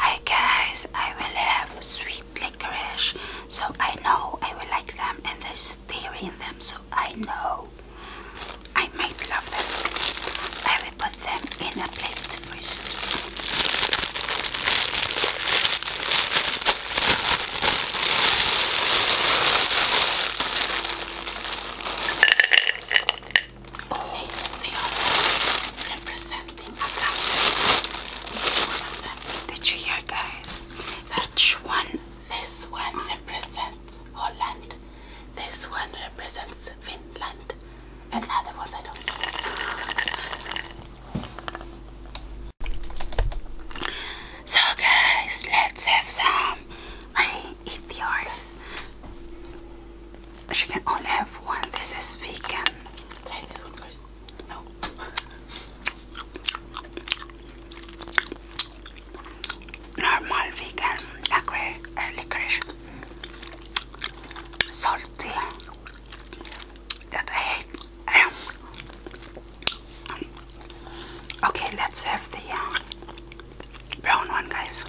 Hi guys, I will have sweet licorice, so I know I will like them, and there's dairy in them, so I know I might love them. I will put them in a plate first. Oh. They, they the Akashic. Did you hear, guys? That Each one. This one represents Holland. This one represents Finland. And the other ones I don't know. So, guys, let's have some. I eat yours she can only have one. This is vegan. Normal vegan uh, licorice, uh, salty that I um, okay, let's have the uh, brown one, guys.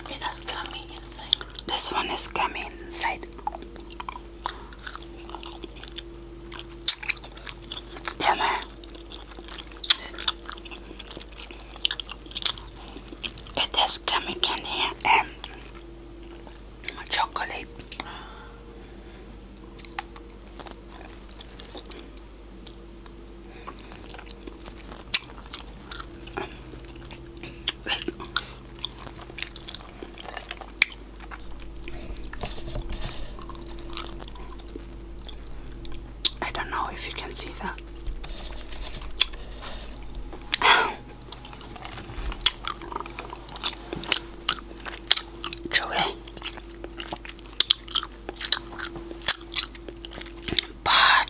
This one is coming inside. Yeah, man. It has gummy candy and chocolate. I don't know if you can see that. Chewy, but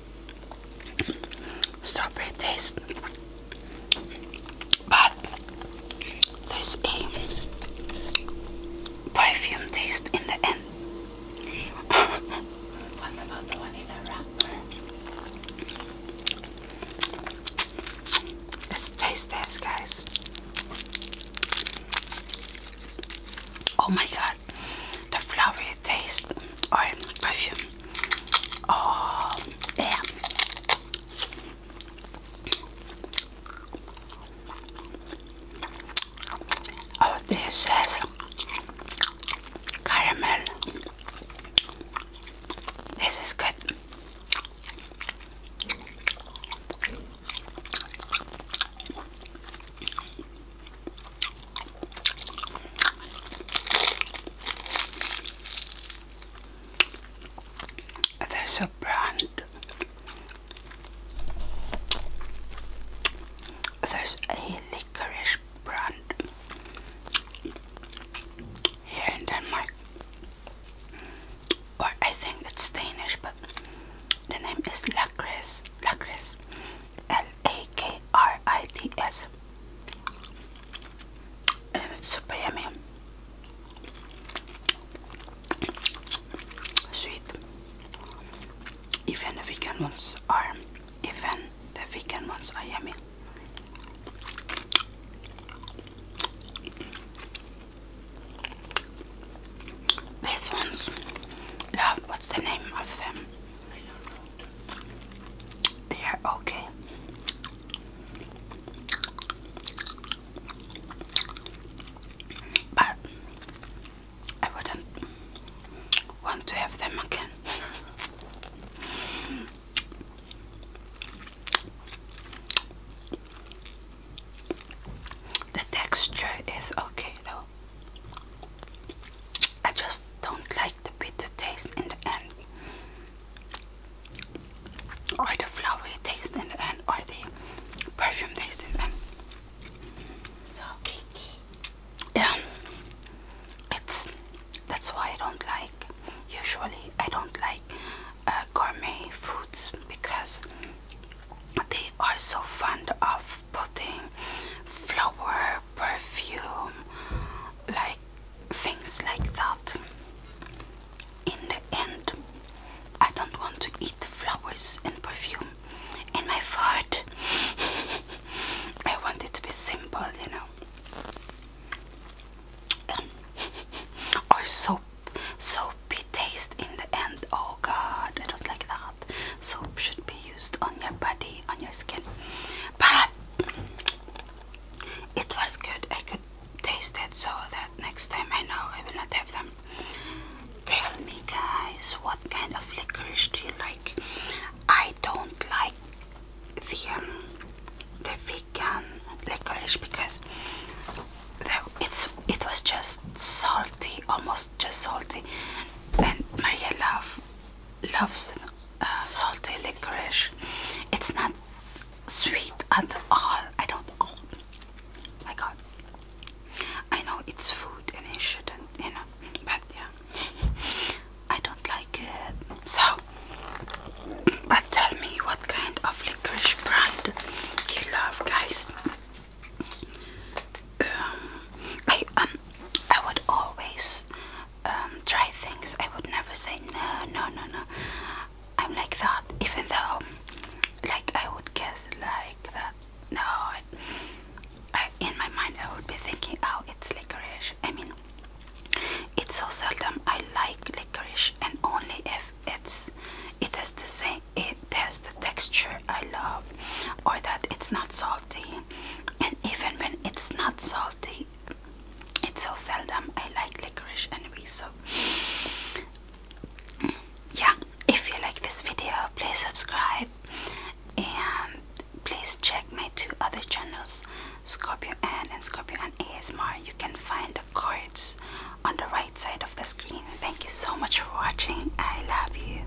strawberry taste, but there's a perfume taste in the end. Let's taste this, guys. Oh my god, the flowery taste or perfume. Oh, yeah. Oh, this has caramel. This is good. There's a brand. There's a licorice brand here in Denmark. Or I think it's Danish, but the name is Lacris. Lacris. A-K-R-I-T-S. And eh, it's super yummy. Sweet. Even the vegan ones are, even the vegan ones are yummy. These ones, love, what's the name of them? They are okay. But I wouldn't want to have them again. the texture is okay though. I just don't like the bitter taste in the end, or the flowery taste in the end, or the perfume taste in the end. So picky. Yeah, it's that's why I don't like. Usually, I don't like uh, gourmet foods because they are so fond of of flower, perfume, like things like that. In the end, I don't want to eat flowers and perfume in my food. I want it to be simple, you know. Um, or soap, soapy taste in the end. Oh God, I don't like that. Soap should be used on your body, on your skin but it was good. I could taste it so that next time I know I will not have them. Tell me, guys, what kind of licorice do you like? I don't like the um, the vegan licorice because it's it was just salty, almost just salty, and Maria love loves uh, salty licorice. It's not sweet at all. I don't. Oh my god. I know it's food and it shouldn't, you know. But yeah, I don't like it. So, but tell me what kind of licorice brand you love, guys. Um, I um, I would always um, try things. I would never say no, no, no, no. I'm like that, even though, like I would guess like that. Uh, no, I, in my mind I would be thinking, oh, it's licorice. I mean, it's so seldom I like licorice, and only if it's it has the same, it has the texture I love, or that it's not salty and even when it's not salty it's so seldom I like licorice anyway so yeah if you like this video please subscribe and please check my two other channels Scorpio Ann and Scorpio Ann ASMR you can find the cards on the right side of the screen thank you so much for watching I love you